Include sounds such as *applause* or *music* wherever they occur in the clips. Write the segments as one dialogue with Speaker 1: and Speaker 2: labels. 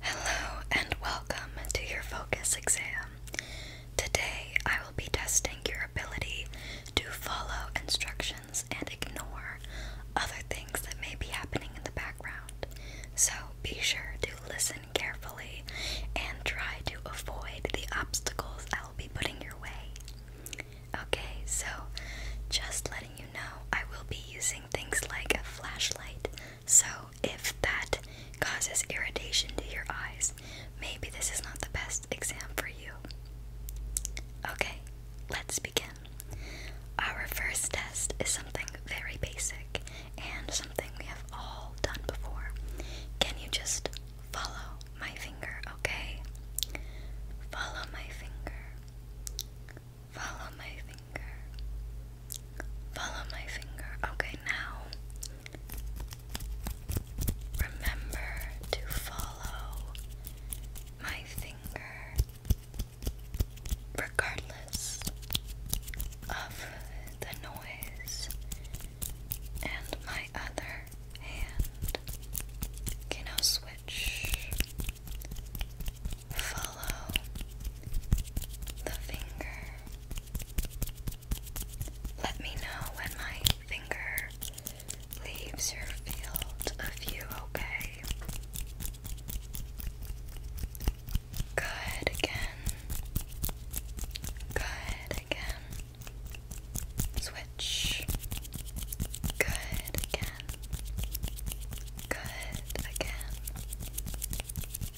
Speaker 1: Hello and welcome to your focus exam. Today I will be testing your ability to follow instructions and ignore other things that may be happening in the background. So be sure to listen carefully and try to avoid the obstacles I will be putting your way. Okay, so just letting you know, I will be using things like a flashlight so, if that causes irritation to your eyes, maybe this is not the best exam for you. Okay, let's begin. Our first test is something very basic and something we have all done before. Can you just follow my finger, okay? Follow my finger. Follow my finger. Follow my finger. Okay, now remember to follow my finger regardless of the noise. And my other hand can now switch Follow the finger. Let me know when my finger leaves your field of view, okay? Good again. Good again. Switch. Good again. Good again.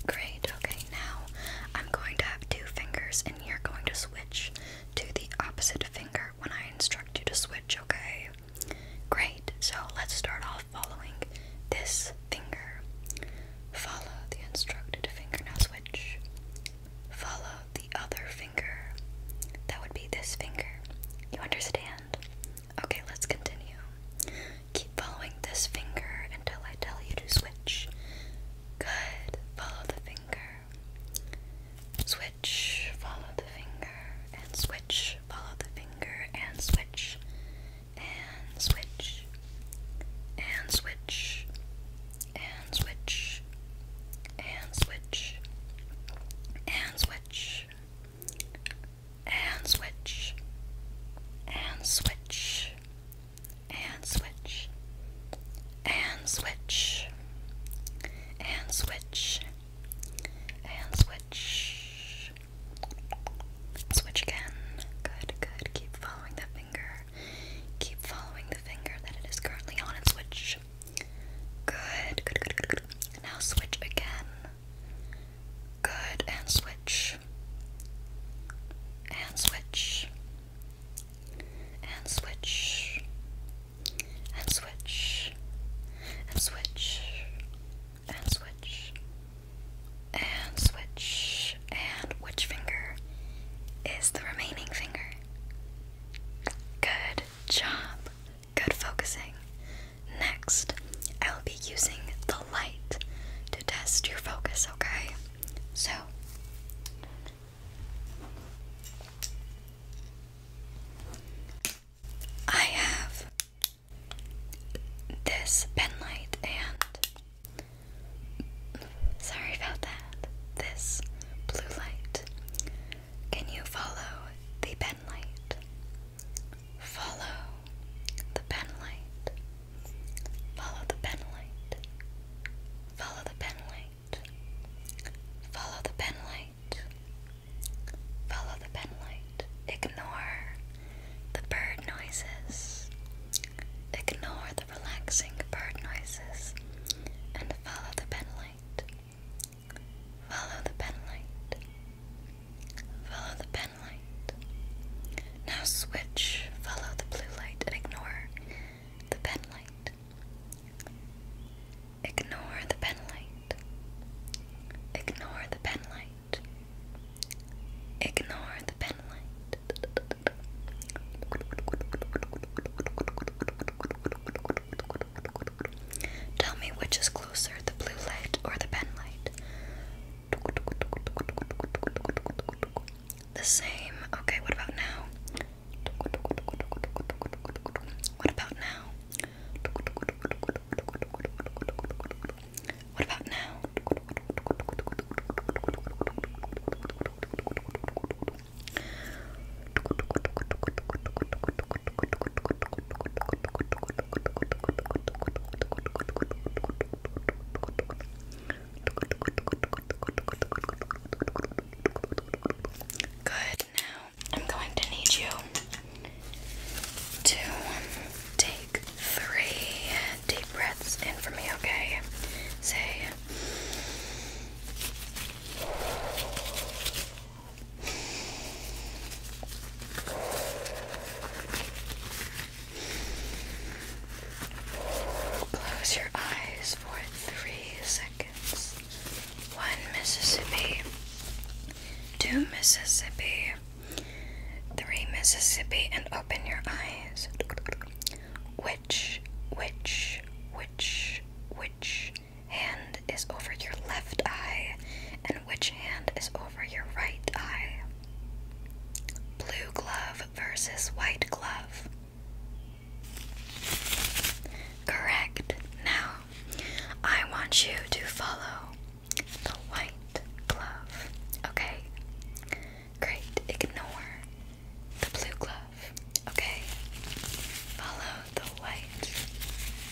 Speaker 1: Great, okay, now I'm going to have two fingers and you're going to switch to the opposite finger when I instruct you to switch, okay? Great, so let's start off following this finger. Follow the instructed finger, now switch. Follow the other finger. That would be this finger. You understand? Okay, let's continue. Keep following this finger until I tell you to switch. Good. Follow the finger. Switch, follow the finger, and switch, follow the finger, and switch, and switch, and switch, and switch, and switch, and switch, and switch, and switch, and switch, and switch, and switch, and switch, switch again. Good, good. Keep following the finger. Keep following the finger that it is currently on and switch. Good, good, good, good, good. Now switch again. Good, and switch. And switch. And switch. And switch. And switch. And switch. And switch. And which finger is the remaining finger? Good job. Good focusing. Next, I will be using the light to test your focus, okay? So, I have this pen light and sorry about that. This blue light. Can you follow the pen light? Follow the pen light. Follow the pen light. Follow the pen light. Follow the pen light. Follow the pen light. Ignore the bird noises. Ignore the relaxing bird noises and follow the pen light. Follow the pen light. Follow the pen light. Now switch, follow the blue light and ignore the pen light. Ignore the pen light. Ignore the pen light. Ignore the pen light. Tell me which is closer, the blue light or the pen light? The same. Okay, what about now? What about now? What about now? Good. Now I'm going to need you to take three deep breaths in for me, okay? Say. Close your eyes for three seconds. One Mississippi, two Mississippi, three Mississippi, and open your eyes. Which, which, which, which hand is over your left eye and which hand is over your right eye? Blue glove versus white glove. Correct. Now, I want you to follow the white glove. Okay? Great. Ignore the blue glove. Okay? Follow the white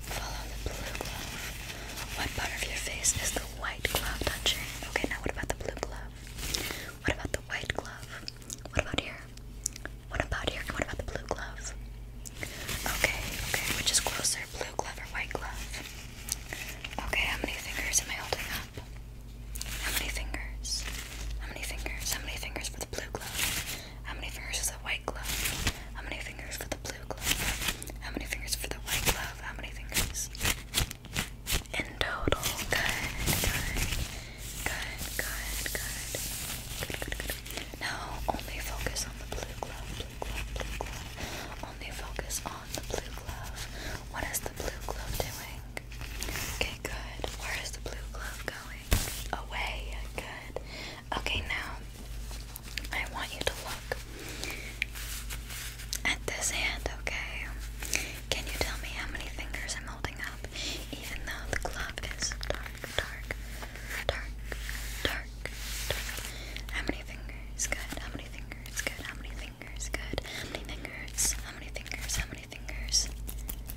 Speaker 1: Follow the blue glove. What part of your face is the white glove touching? Okay, now what about the blue glove? What about the white glove? What about here? What about here? What about the blue glove? Okay, okay, which is closer, blue glove or white glove? Okay, how many fingers am I holding up? How many fingers? How many fingers? How many fingers for the blue glove? How many fingers is the white? How many fingers for the blue glove? How many fingers for the white glove? How many fingers? In total. Good, good, good, good, good. Good, good, good. Now only focus on the blue glove, blue glove, blue glove. Only focus on the blue glove. What is the blue glove doing? Okay, good. Where is the blue glove going? Away. Good. Okay, now I want you to look at this hand, okay? Can you tell me how many fingers I'm holding up? Even though the glove is dark, dark, dark, dark, How many fingers? Good. How many fingers? Good. How many fingers? Good. How many fingers? How many fingers? How many fingers?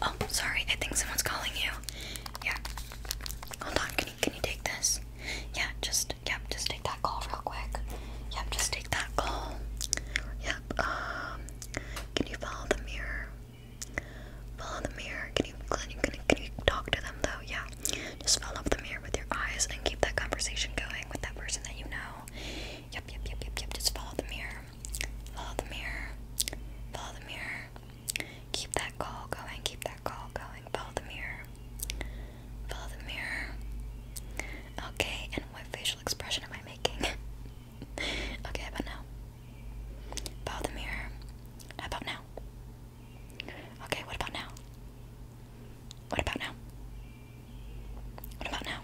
Speaker 1: Oh, sorry. I think someone's calling you. Yeah. Hold on. Can you can you take this? Yeah. Just yep. Just take that call real quick. Yep. Just take that call. Yep. Um. Can you follow the mirror? Follow the mirror. Can you can you can can you talk to them though? Yeah. Just follow the mirror with your eyes and keep that conversation going with that person that you know. Yep. Yep. Yep. Yep. Yep. Just follow the mirror. Follow the mirror. Follow the mirror. Keep that call going. Keep that call going. Follow the mirror. Follow the mirror. Okay, and what facial expression am I making? *laughs* okay, how now? Follow the mirror. How about now? Okay, what about now? What about now? What about now?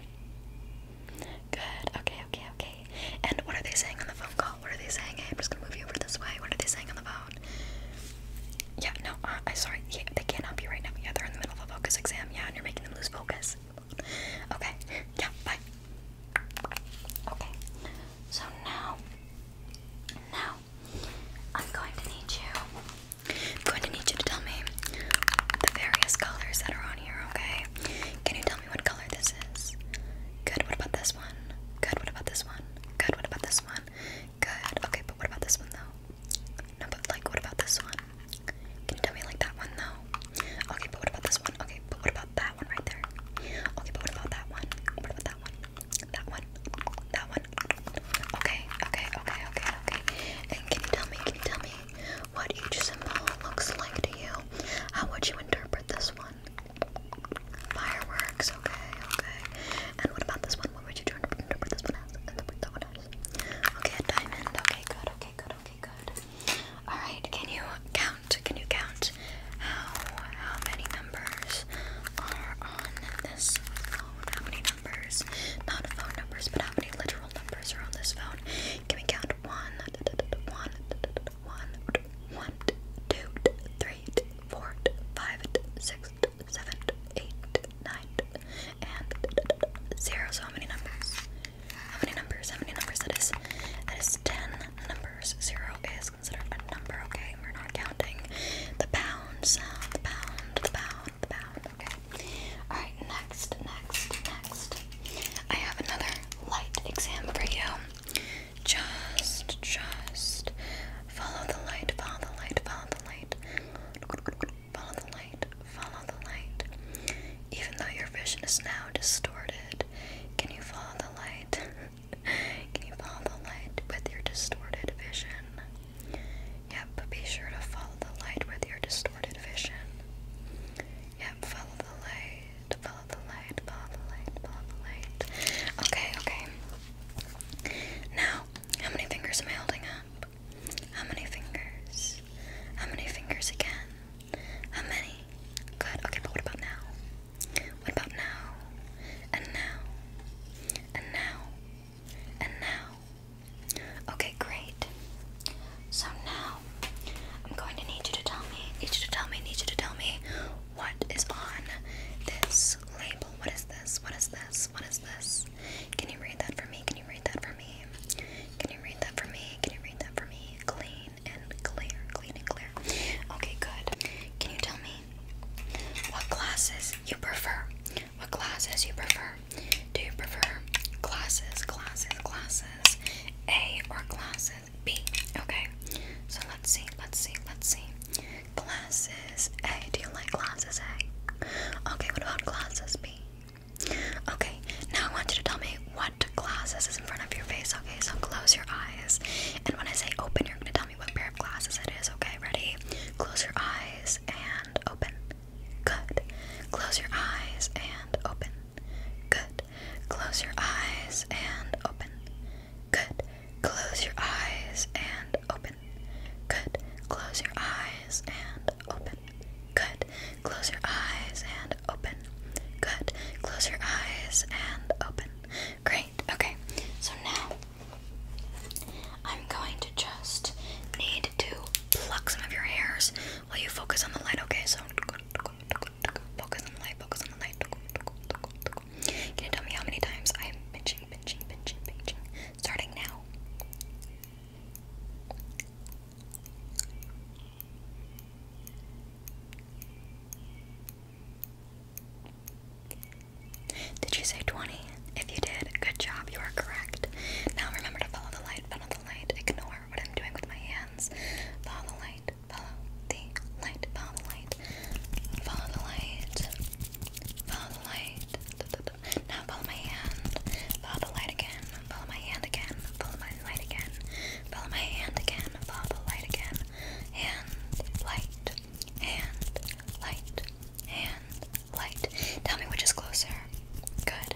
Speaker 1: Good. Okay, okay, okay, And what are they saying on the phone call? What are they saying? Hey, I'm just gonna move you over this way. What are they saying on the phone? Yeah, no, uh, I'm sorry. Yeah, they can't help you right now. Yeah, they're in the middle of a focus exam. Yeah, and you're making them lose focus. Okay, yeah, bye. Okay, so now, now, I'm going to need you. I'm going to need you to tell me the various colors that are on here. Okay, can you tell? tell me what color this is. Good, what about this one? Good, what about this one? Good, what about this one? Good, okay, but what about this one though? No, but like, what about this one? Can you tell me like that one though? Okay, but what about this one? Okay, but what about that one right there? Okay, but what about that one? What about that one? That one? That one? Okay, okay, okay, okay, okay. And can you tell me, can you tell me, what each symbol looks like to you. How would you interpret this one? Fireworks, okay, okay. And what about this one? What would you interpret this one as? Interpret that one as? Okay, diamond. Okay, good, okay, good, okay, good. Alright, can you count? Can you count how how many numbers are on this phone? How many numbers? Not phone numbers, but how many literal numbers are on this phone? Can we count got one, one, one, one, two, three, four, five, six, seven, eight, nine, and zero. So how many numbers? How many numbers? How many numbers? That is, that is ten numbers. Zero is considered a number. Okay, we're not counting the pound sound. The pound. The pound. The pound. Okay. All right. Next. Next. Next. I have another light exam for you. Just, just follow the light, follow the light, follow the light, follow the light, follow the light. Even though your vision is now distorted, can you follow the light? *laughs* can you follow the light with your distorted vision? Yep, be sure to follow the light with your distorted vision. Yep, follow the light, follow the light, follow the light, follow the light. Okay, okay. Now, how many fingers am I holding up? How many fingers? How many fingers again? How many? Good. Okay, but what about now? What about now? And now? And now? And now? Okay, great. So now I'm going to need you to tell me, need you to tell me, need you to tell me what is on this label. What is this? What is this? What is this? Can you read that for me? Can you read that for me? Can you read that for me? Can you read that for me? Clean and clear. Clean and clear. Okay, good. Can you tell me what classes you prefer? What classes you prefer? Do you prefer classes, classes, classes? glasses? A or glasses? B. Okay. So let's see, let's see, let's see. Glasses A. Do you like glasses A? Okay, what about glasses B? Okay, now I want you to tell me what glasses is in front of your face. Okay, so close your eyes. And when I say open, you're gonna tell me what pair of glasses it is. Okay, ready? Close your eyes and open. Good. Close your eyes and open. Good. Close your eyes and open. Good. Close your eyes and open. Good. Close your eyes and open. Good. Close your eyes and open. Good. Close your eyes and open. Great. Okay. So now I'm going to just need to pluck some of your hairs Will you focus on the light? Okay, so focus on the light, focus on the light. Can you tell me how many times I am pinching, pinching, pinching, pinching? Starting now. Did you say 20? If you did, good job, you are correct. Now remember to follow the light, follow the light, ignore what I'm doing with my hand. Follow the light, follow the light, follow the light, follow the light, follow the light. Now follow my hand, follow the light again, follow my hand again, follow my light again, follow my hand again, follow the light again. Hand, light, hand, light, hand, light. Tell me which is closer. Good.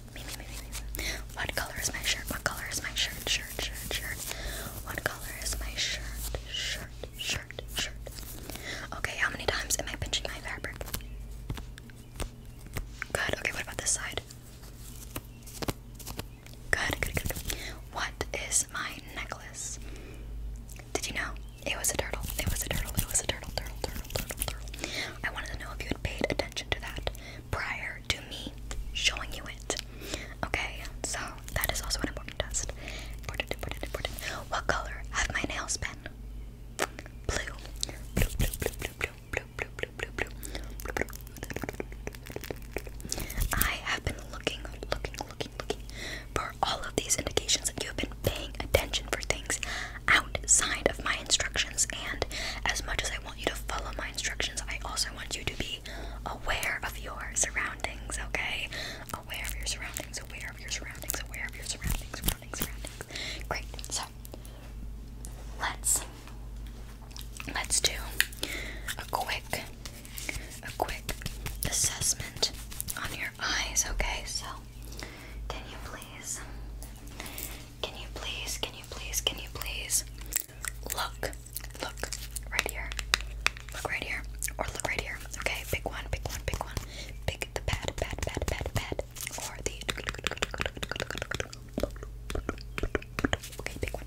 Speaker 1: What color is my shirt? What color is my shirt? Shirt, shirt, shirt. What color is my shirt? Shirt, shirt, shirt. Okay, how many times am I pinching my fabric? Good. Okay, what about this side? Good, good, good, What is my necklace? Did you know? It was a turtle. It was a turtle. It was a turtle, turtle, turtle, turtle, turtle. I wanted to know if you paid attention to that prior to me showing you it. Okay, so that is also an important test. Important, important, important. What color have my nails been? Blue. Blue, blue, blue, blue, blue, blue, blue, blue, blue, blue, blue, blue. I have been looking, looking, looking, looking for all of these indications that you have been paying attention for things outside of my instructions. And as much as I want you to follow my instructions, I also want you to be aware of your surroundings, okay? Aware of your surroundings, aware of your surroundings, aware of your surroundings, surroundings, surroundings. Great. So let's let's do a quick a quick assessment on your eyes, okay? So can you please can you please, can you please, can you please look, look right here, look right here, or look right here? Okay, pick one, pick one, pick one, pick the pad, pad, pad, pad, pad, or the. Okay, pick one, pick one, pick one, pick one. Okay, pick one,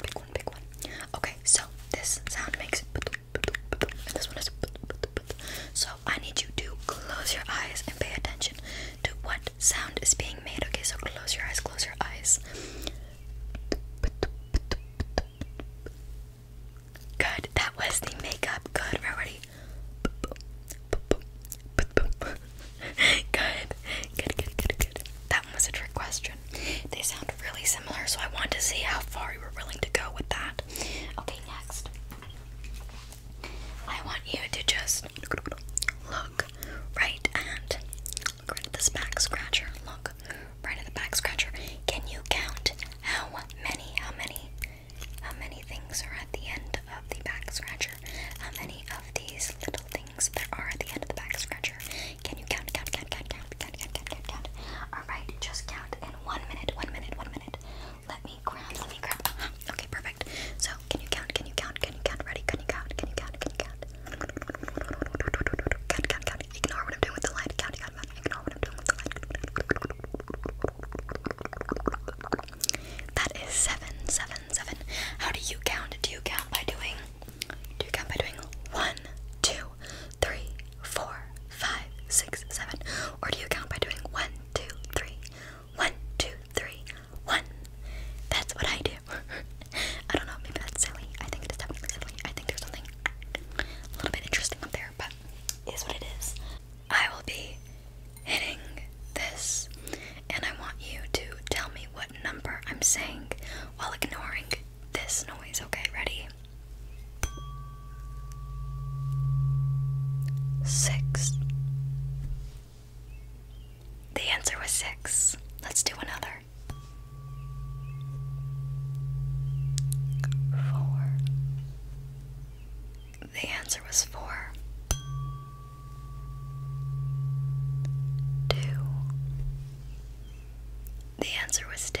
Speaker 1: pick one, pick one. Okay, so this sound makes so I need you to close your eyes and pay attention to what sound is being made. Okay, so close your eyes, close your eyes. Good, that was the makeup. Good, we're ready. good. good, good, good, good. That was a trick question. They sound really similar, so I wanted to see how far you were willing to go with that. Okay, next. I want you to just look right at look this back scratcher. Look right at the back scratcher. Can you count how many, how many, how many things are at the end of the back scratcher? How many of these little things there are at the end of the back scratcher? Can you count, count, count, count, count, count, count, count, count, Alright, just count in one minute, one minute, one minute. Let me grab, let me grab. Uh-huh. Okay, perfect. So, can you count, can you count, can you count? Ready? Can you count, can you count, can you count? Count, count, count. Ignore what I'm doing with the light. Count, count, count. Ignore what I'm doing with the light. That is seven, seven, seven. How do you count? Do you count by doing? Do you count by doing one, two, three, four, five, six, seven? Or do you count by doing one, two, three, one, two, three, one? That's what I do. *laughs* I don't know, maybe that's silly. I think it is definitely silly. I think there's something a little bit interesting up there, but it is what it is. I will be hitting this, and I want you to tell me what number I'm saying while ignoring this noise, okay? Ready? Six. The answer was six. Let's do another. Four. The answer was four. Two. The answer was two.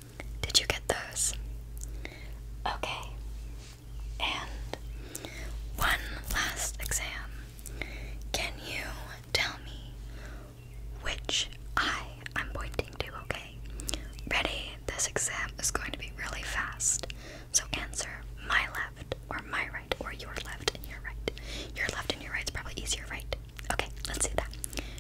Speaker 1: Did you get those? Okay. And one last exam. Can you tell me which eye I'm pointing to, okay? Ready? This exam is going to be really fast. So answer my left or my right or your left and your right. Your left and your right's probably easier, right? Okay, let's do that.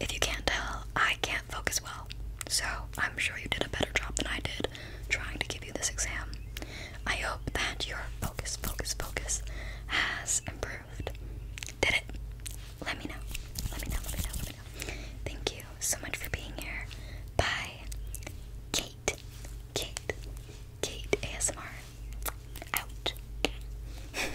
Speaker 1: If you can't tell, I can't focus well. So I'm sure you did a better job than I did trying to give you this exam. I hope that your focus, focus, focus has improved. Did it? Let me know. Let me know, let me know, let me know. Thank you so much for being here. Bye. Kate. Kate. Kate ASMR. Out. *laughs*